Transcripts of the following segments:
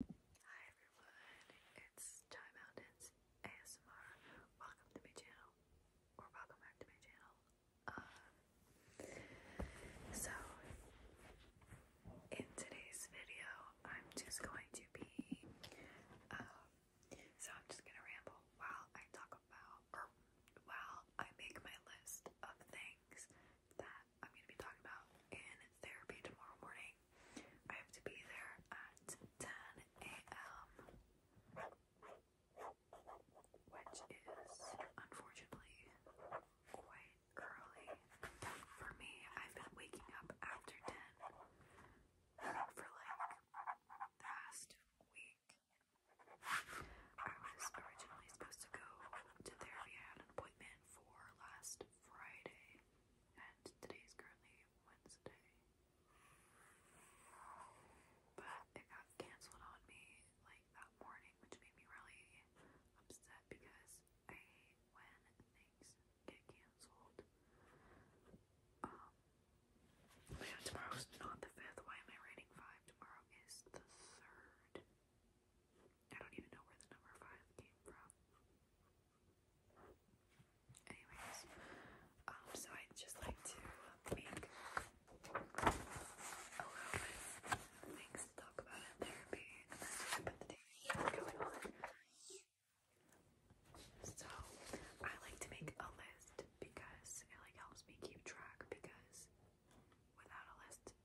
Hi everyone, it's Time Mountains ASMR. Welcome to my channel, or welcome back to my channel. Um, so, in today's video, I'm just going to be, um, so I'm just gonna ramble while I talk about, while I make my list of things that I'm going to be talking about in therapy tomorrow morning. I have to be there at 10 a.m., which is unfortunately quite early for me. I've been waking up after 10 for like the past week. I was originally supposed to go to therapy. I had an appointment for last Friday, and today is currently Wednesday. But it got cancelled on me like that morning, which made me really upset because I hate when things get cancelled. Um, yeah, oh tomorrow's not the 5th. Why am I writing 5? Tomorrow is the 3rd. I don't even know where the number five came from. Anyways, um, so i just like to make a little things to talk about in therapy and that's just about the day going on. So I like to make a list because it like helps me keep track because without a list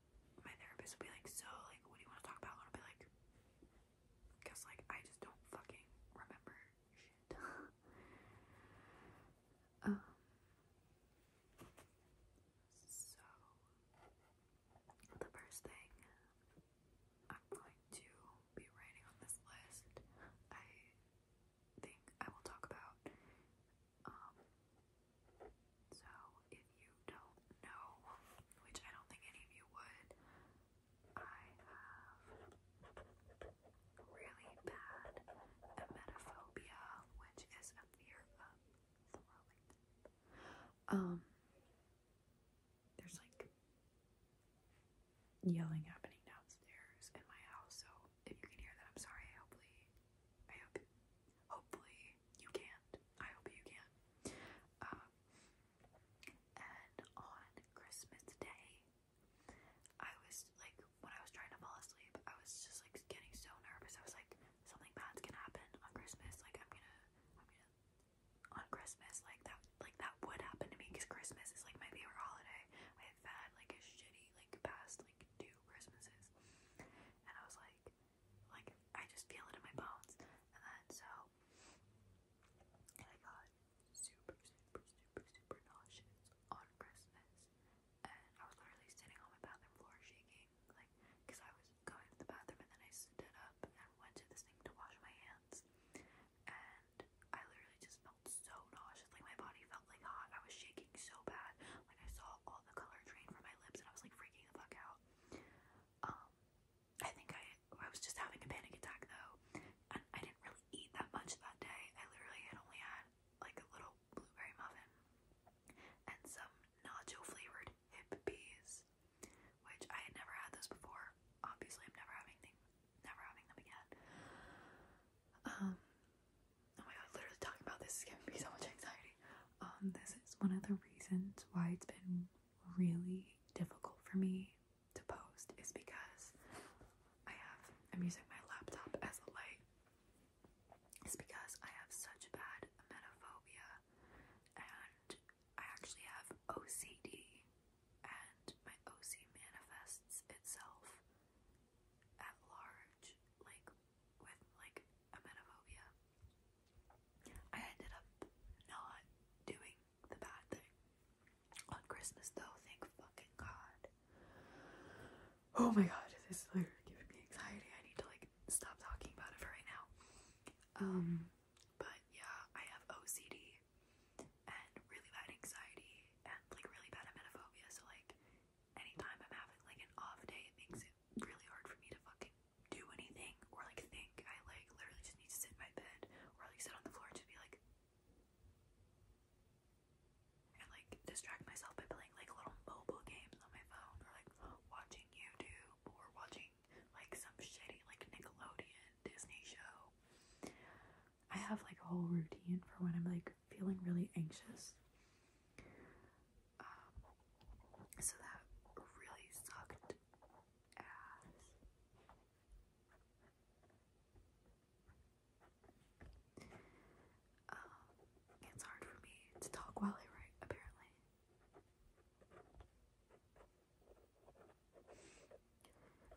my therapist will be like, so like, what do you want to talk about? I'll be like, because like I just don't fucking remember shit. um. So the first thing I'm going to be writing on this list, I think I will talk about um, so if you don't know, which I don't think any of you would, I have really bad emetophobia, which is a fear of swallowing. Um, there's like yelling happening downstairs in my house, so if you can hear that, I'm sorry. Hopefully, I hope, hopefully you can't. I hope you can. Um, and on Christmas Day, I was like, when I was trying to fall asleep, I was just like getting so nervous. I was like, something bad's gonna happen on Christmas. Like, I'm gonna, I'm gonna, on Christmas, like that, like that would happen to me because Christmas is like my favorite holiday. I have had like a shitty, like past like two Christmases, and I was like, like I just feel it in my bones. And then so I got super, super, super, super nauseous on Christmas. And I was literally sitting on my bathroom floor shaking, like, because I was going to the bathroom and then I stood up and went to this thing to wash my hands. And I literally just felt so nauseous. Like, my body felt like hot. I was shaking so bad. Like, I saw all the color drain from my lips and I was like freaking the fuck out. Um, I think I, I was just having a panic attack though, and I didn't really eat that much that day. I literally had only had like a little blueberry muffin and some nacho flavored hip peas, which I had never had those before. Obviously, I'm never having things, never having them again. Um, oh my god, literally talking about this is giving me so much anxiety. Um, this is one of the reasons why it's been really difficult for me to post is because I have, I'm using my laptop as a light, is because I have such bad emetophobia and I actually have OCD and my OC manifests itself at large, like with like emetophobia. I ended up not doing the bad thing on Christmas, though. Thank fucking God. Oh my God, this is literally giving me anxiety. I need to like stop talking about it for right now. Um, but yeah, I have OCD and really bad anxiety and like really bad emetophobia. So like, anytime I'm having like an off day, it makes really hard for me to fucking do anything or like think. I like literally just need to sit in my bed or like sit on the floor and be like and like distract myself by playing like little mobile games on my phone or like watching YouTube or watching like some shitty like Nickelodeon Disney show. I have like a whole routine for when I'm like feeling really anxious. Um, so that really sucked ass. Um, it's hard for me to talk while I write, apparently.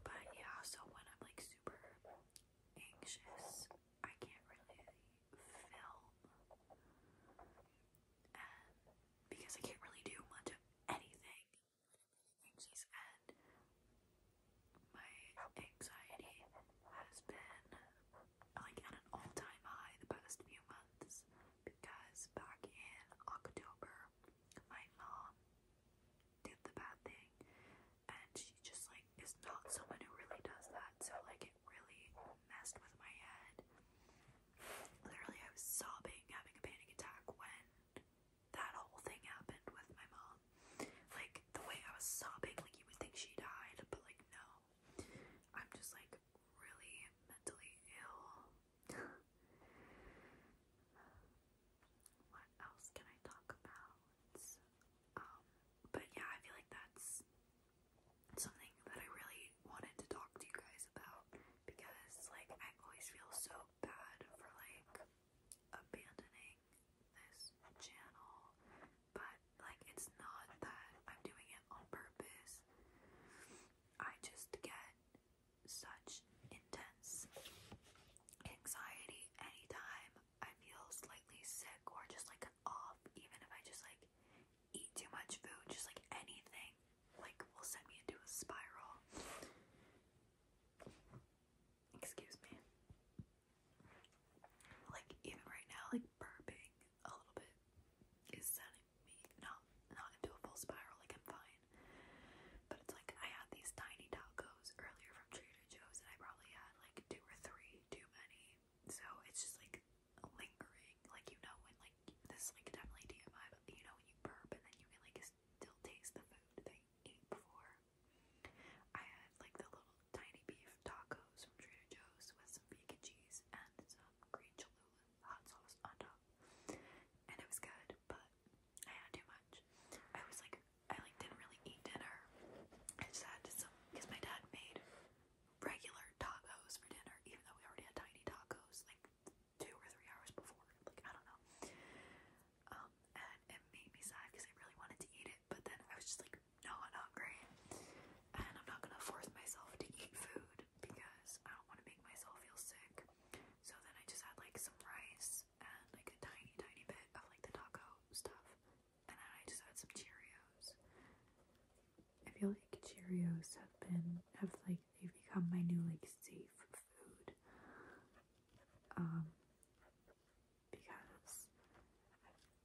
But yeah, so when I'm like super anxious, I can't really film. And because I can't really do much of anything. and my anxiety has been like at an all-time high the past few months because back in October my mom did the bad thing and she just like is not someone who really does that so like really messed with my head. Literally, I was sobbing, having a panic attack when that whole thing happened with my mom. Like, the way I was sobbing, like, you would think she died, but like, no. I'm just like really mentally ill. What else can I talk about? Um, but yeah, I feel like that's something that I really wanted to talk to you guys about because like I always feel so bad for like abandoning this channel but like it's not that I'm doing it on purpose. I just get such intense anxiety anytime I feel slightly sick or just like off, even if I just like eat too much food, just like anything, like will send me into a spiral. Excuse me. Like even right now, like burping a little bit is sending me not not into a full spiral. Like I'm fine, but it's like I had these tiny tacos earlier from Trader Joe's, and I probably had like two or three too many so it's just like lingering, like you know when like this like definitely DMI, but you know when you burp and then you can like still taste the food that you ate before. I had like the little tiny beef tacos from Trader Joe's with some vegan cheese and some green Cholula hot sauce on top, and it was good, but I had too much. I was like, I like didn't really eat dinner. I just had some because my dad made regular tacos for dinner, even though we already had tiny tacos like two or three hours before. Like, I don't know. Um, and it made me sad because I really wanted to eat it, but then I was just like not hungry. And I'm not gonna force myself to eat food because I don't want to make myself feel sick. So then I just had like some rice and like a tiny, tiny bit of like the taco stuff. And then I just had some Cheerios. I feel like Cheerios have been have like they've become my new like safe food. Um because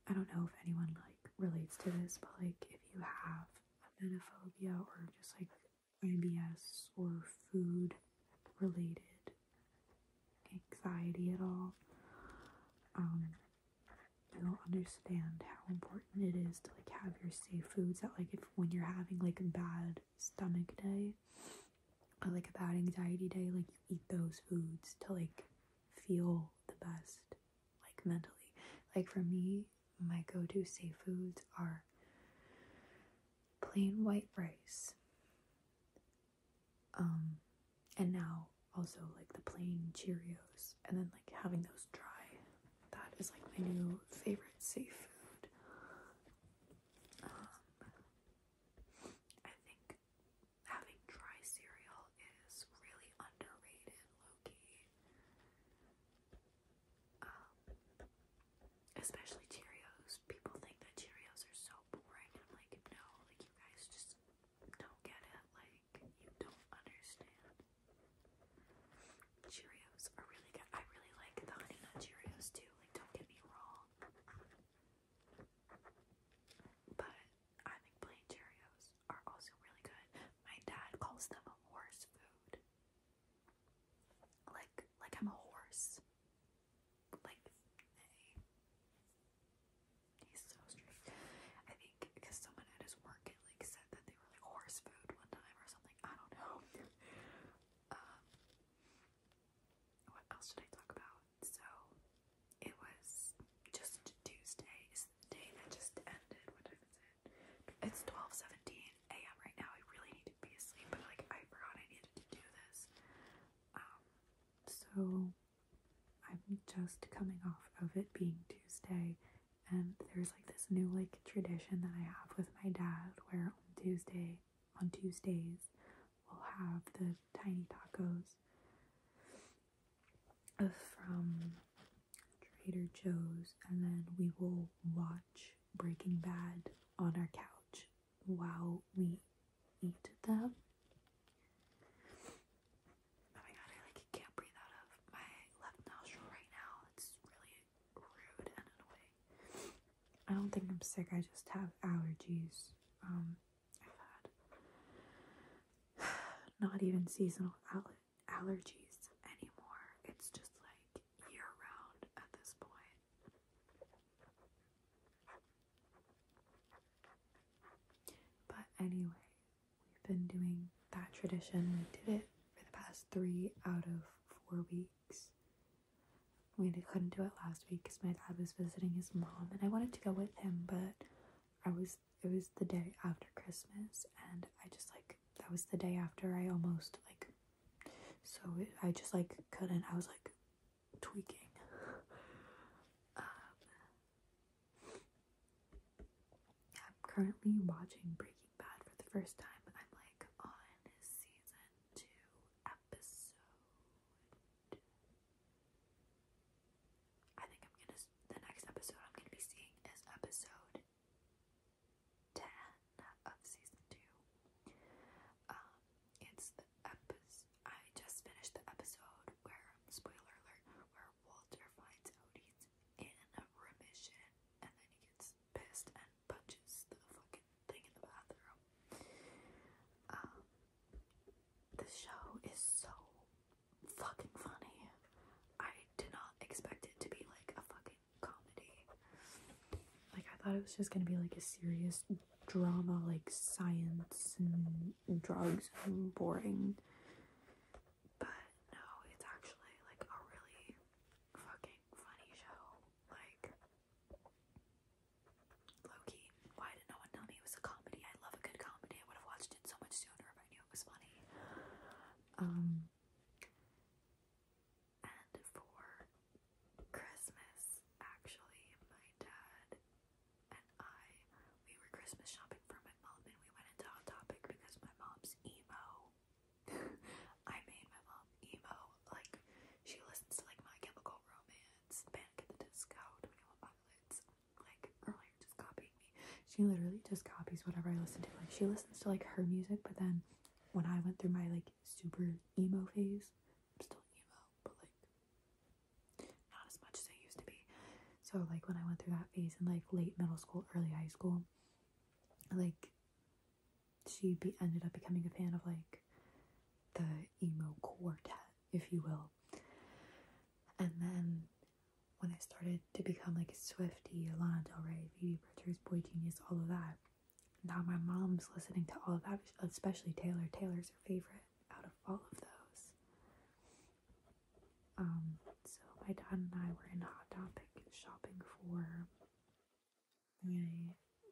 I don't know if anyone like relates to this, but like if you have emetophobia or just like IBS or food related anxiety at all. Um I don't understand how important it is to like have your safe foods that like if when you're having like a bad stomach day or like a bad anxiety day, like you eat those foods to like feel the best like mentally. Like for me, my go-to safe foods are plain white rice. Um and now also like the plain Cheerios, and then like having those dry. That is like my new favorite seafood. food. Um, I think having dry cereal is really underrated, Loki. Um, especially Cheerios. People think that Cheerios are so boring. like, no, like you guys just don't get it. Like you don't understand. Cheerios are really good. I really like the honey nut Cheerios too. Like, don't get me wrong. But I think plain Cheerios are also really good. My dad calls them horse food. Like, like I'm a horse. Like, He's so strict. I think because someone at his work like said that they were like horse food one time or something. I don't know. Um, what else did I talk about? So it was just Tuesday is the day that just ended. What time is it? It's twelve seventeen a.m. right now. I really need to be asleep, but like I forgot I needed to do this. Um, so. I'm just coming off of it being Tuesday and there's like this new like tradition that I have with my dad where on Tuesday, on Tuesdays, we'll have the tiny tacos from Trader Joe's and then we will watch Breaking Bad on our couch while we eat them. Oh my god, I like can't breathe out of my left nostril right now. It's really rude and annoying. I don't think I'm sick. I just have allergies. Um, I've had not even seasonal aller allergies anymore. It's just like year round at this point. But anyways, We've been doing that tradition. We did it for the past three out of four weeks. We couldn't do it last week because my dad was visiting his mom, and I wanted to go with him, but I was it was the day after Christmas, and I just like that was the day after I almost like so I just like couldn't. I was like tweaking. Um, I'm currently watching Breaking Bad for the first time. I'm like on season two, episode. I think I'm gonna. The next episode I'm gonna be seeing is episode ten of season two. Um, it's the episode. I just finished the episode where spoiler alert, where Walter finds out in remission, and then he gets pissed and punches the fucking thing in the bathroom. Um, the show is so fucking funny. I did not expect it to be like a fucking comedy. Like I thought it was just gonna be like a serious drama, like science and drugs and boring. But no, it's actually like a really fucking funny show. Like, Loki, why did no one tell me it was a comedy? I love a good comedy. I would have watched it so much sooner if I knew it was funny. Um, and for Christmas, actually, my dad and I we were Christmas shopping for my mom and we went into Hot Topic because my mom's emo. I made my mom emo. Like she listens to like My Chemical Romance, Panic at the Disco, Twenty One Pilots. Like earlier, just copying me. She literally just copies whatever I listen to. Like she listens to like her music, but then when I went through my like super emo phase, I'm still emo, but like not as much as it used to be. So like when I went through that phase in like late middle school, early high school, like she be ended up becoming a fan of like the emo quartet, if you will. And then when I started to become like a Swifty, Lana Del Rey, Phoebe Bridgers, Boy Genius, all of that. Now my mom's listening to all of that, especially Taylor. Taylor's her favorite out of all of those. Um, so my dad and I were in Hot Topic shopping for my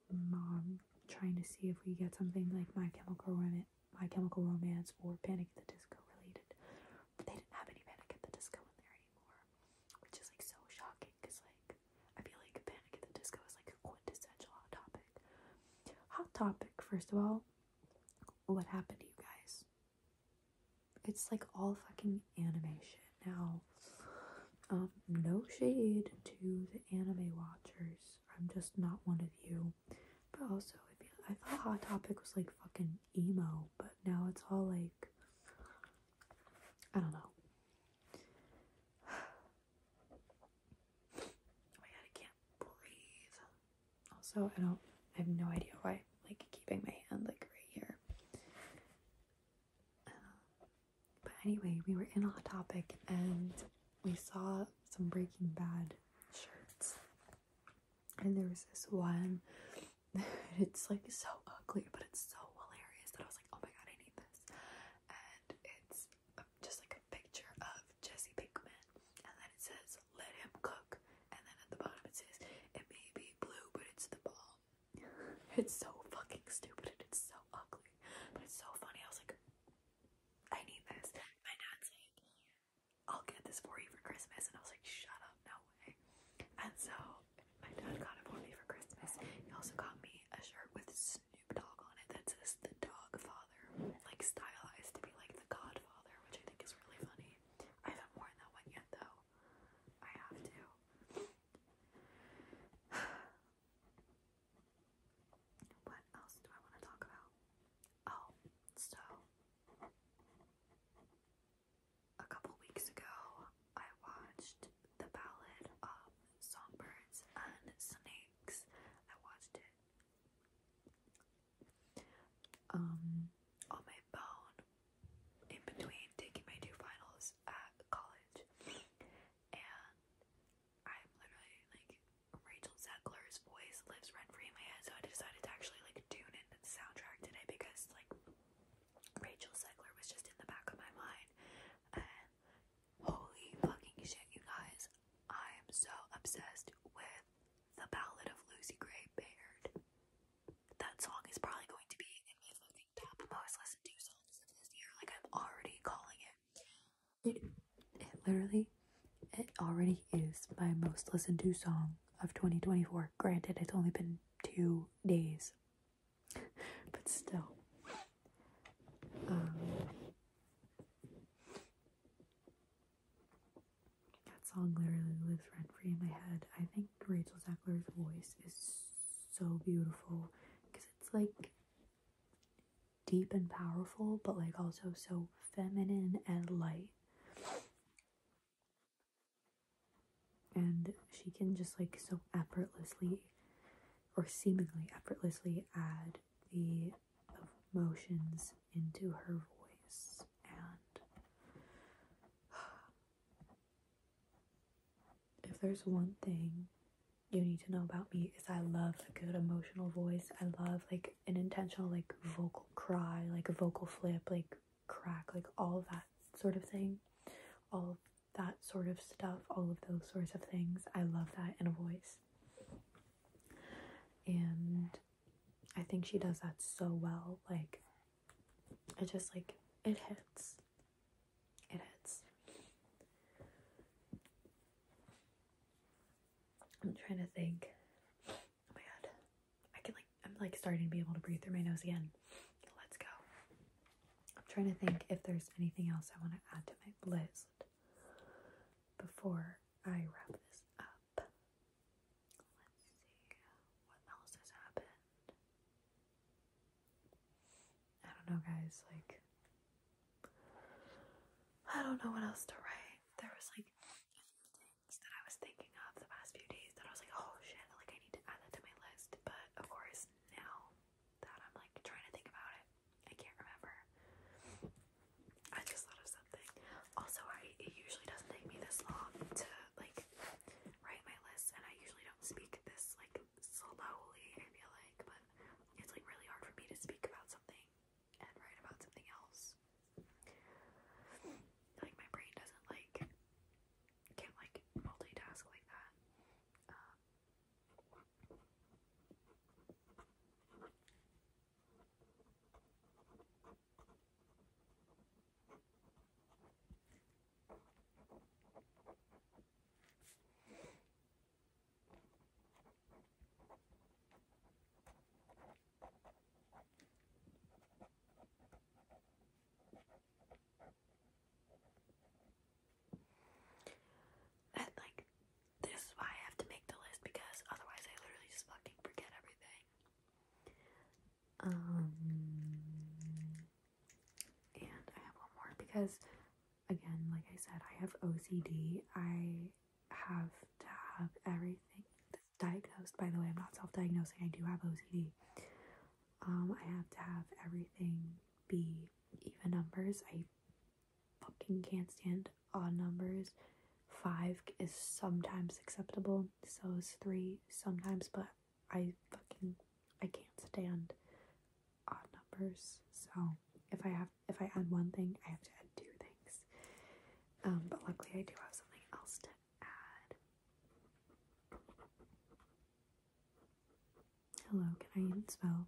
mom, trying to see if we get something like My Chemical Romance, My Chemical Romance, or Panic at the Disco related. they didn't have any Panic at the Disco in there anymore, which is like so shocking because like I feel like Panic at the Disco is like a quintessential Hot Topic. Hot Topic, first of all, what happened to you guys? It's like all fucking animation. Now, um, no shade to the anime watchers. I'm just not one of you. But also, I, feel, I thought Hot Topic was like fucking emo, but now it's all like. I don't know. Oh my god, I can't breathe. Also, I don't, I have no idea why I'm like keeping my hand like right here. Uh, but anyway, we were in Hot Topic and we saw some Breaking Bad shirts. And there was this one, it's like so ugly, but it's so hilarious that I was like, oh my god, I need this. And it's um, just like a picture of Jesse Pinkman, and then it says, let him cook. And then at the bottom it says, it may be blue, but it's the ball." It's so fucking stupid and it's so ugly. But it's so funny. I was like, I need this. My dad's like, I'll get this for you for Christmas. And I was like, shut up, no way. And so my dad got it for me for Christmas. He also got me a shirt with Snoop Dogg on it that says the dog father like stylized to be like the Godfather, which I think is really funny. I haven't worn that one yet though. I have to. what else do I want to talk about? Oh, so a couple weeks ago, I watched The Ballad of Songbirds and Snakes. I watched it um, on my phone in between taking my two finals at college. And I'm literally like Rachel Zegler's voice lives rent free in my head, so I decided to actually like tune into the soundtrack today because like Rachel Zegler was just in the back of my mind. And holy fucking shit, you guys! I'm so obsessed with the ballad of Lucy Gray Baird. That song is probably going to be in my top most listened to songs of this year. Like I'm already calling it. It, literally, it already is my most listened to song of 2024. Granted, it's only been two days, but still. Um, that song literally lives rent free in my head. I think Rachel Zegler's voice is so beautiful because it's like deep and powerful, but like also so feminine and light. And she can just like so effortlessly or seemingly effortlessly add the of motions into her voice and if there's one thing you need to know about me is I love a good emotional voice. I love like an intentional like vocal cry, like a vocal flip, like crack, like all that sort of thing. All that sort of stuff, all of those sorts of things. I love that in a voice. And I think she does that so well. Like, it just like it hits. It hits. I'm trying to think. Oh my god. I can like I'm like starting to be able to breathe through my nose again. Let's go. I'm trying to think if there's anything else I want to add to my list before I wrap this up. Let's see what else has happened. I don't know, guys. Like, I don't know what else to write. There was like a few things that I was thinking of the past few days that I was like, oh shit, like I need to add that to my list. But of course, now that I'm like trying to think about it, I can't remember. I just thought of something. Also, I it usually doesn't take me this long to like write my list, and I usually don't speak this like slowly. I feel like, but it's like really hard for me to speak about something and write about something else. Like my brain doesn't like can't like multitask like that. Uh, at like this is why I have to make the list because otherwise I literally just fucking forget everything. Um, and I have one more because, again, like I said, I have OCD. I have to have everything diagnosed. By the way, I'm not self diagnosing, I do have OCD. Um, I have to have everything be even numbers. I fucking can't stand odd numbers. Five is sometimes acceptable, so is three sometimes, but I fucking I can't stand odd numbers. So if I have if I add one thing, I have to add two things. Um, but luckily I do have something else to add. Hello, can I even spell?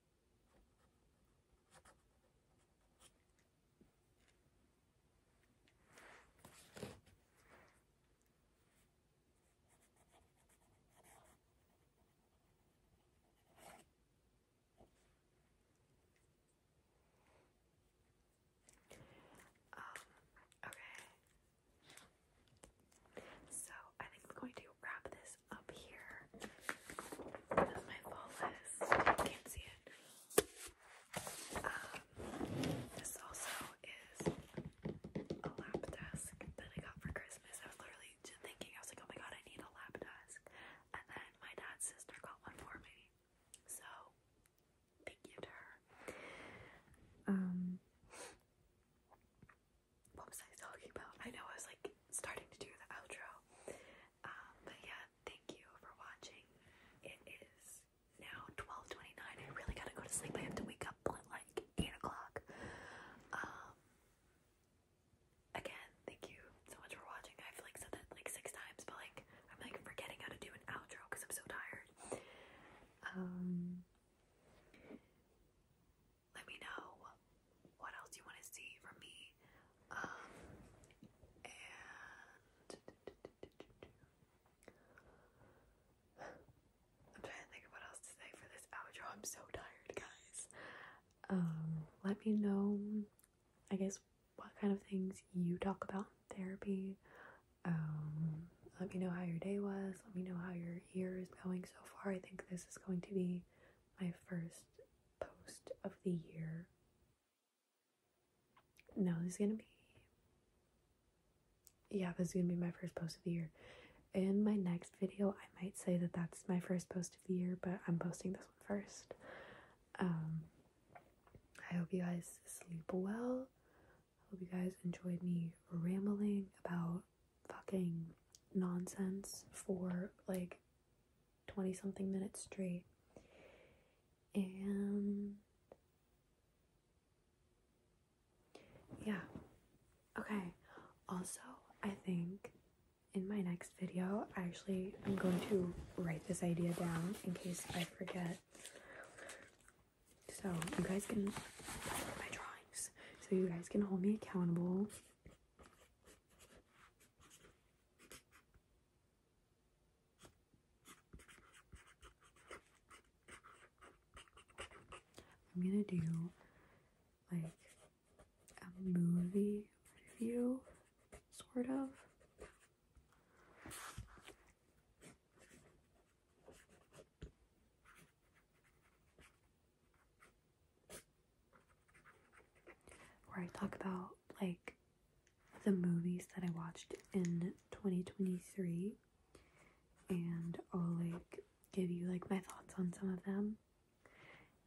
Um, okay. So I think I'm going to wrap this up here. That's my fall list. can't see it. Um, this also is a lap desk that I got for Christmas. I was literally just thinking, I was like, oh my god, I need a lap desk. And then my dad's sister got one for me. So, thank you to her. Um, what was I talking about? I know I was like starting to do the outro. Um, but yeah, thank you for watching. It is now 12:29. I really gotta go to sleep. I have to wake up at like 8 o'clock. Um, again, thank you so much for watching. I've like said that like six times, but like I'm like forgetting how to do an outro because I'm so tired. Um, let me know what else you want to see from me. Um, and I'm trying to think of what else to say for this outro. I'm so tired, guys. Um, let me know, I guess, what kind of things you talk about therapy. Um, let me know how your day was. Let me know how your year is going so far. I think this is going to be my first post of the year. No, this is gonna be. Yeah, this is gonna be my first post of the year. In my next video, I might say that that's my first post of the year, but I'm posting this one first. Um, I hope you guys sleep well. I hope you guys enjoyed me rambling about fucking nonsense for like 20 something minutes straight. And yeah. Okay. Also, I think in my next video, I actually am going to write this idea down in case I forget. So you guys can my drawings. So you guys can hold me accountable I'm gonna do like a movie review, sort of where I talk about like the movies that I watched in 2023 and I'll like give you like my thoughts on some of them.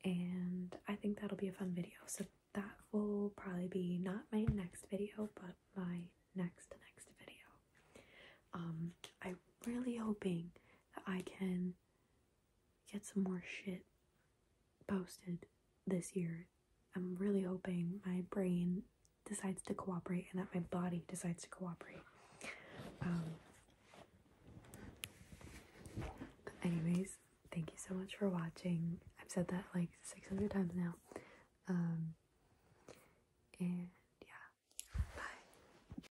And I think that'll be a fun video. So that will probably be not my next video, but my next next video. Um I'm really hoping that I can get some more shit posted this year. I'm really hoping my brain decides to cooperate and that my body decides to cooperate. Um, anyways, thank you so much for watching. I've said that like 600 times now. Um, and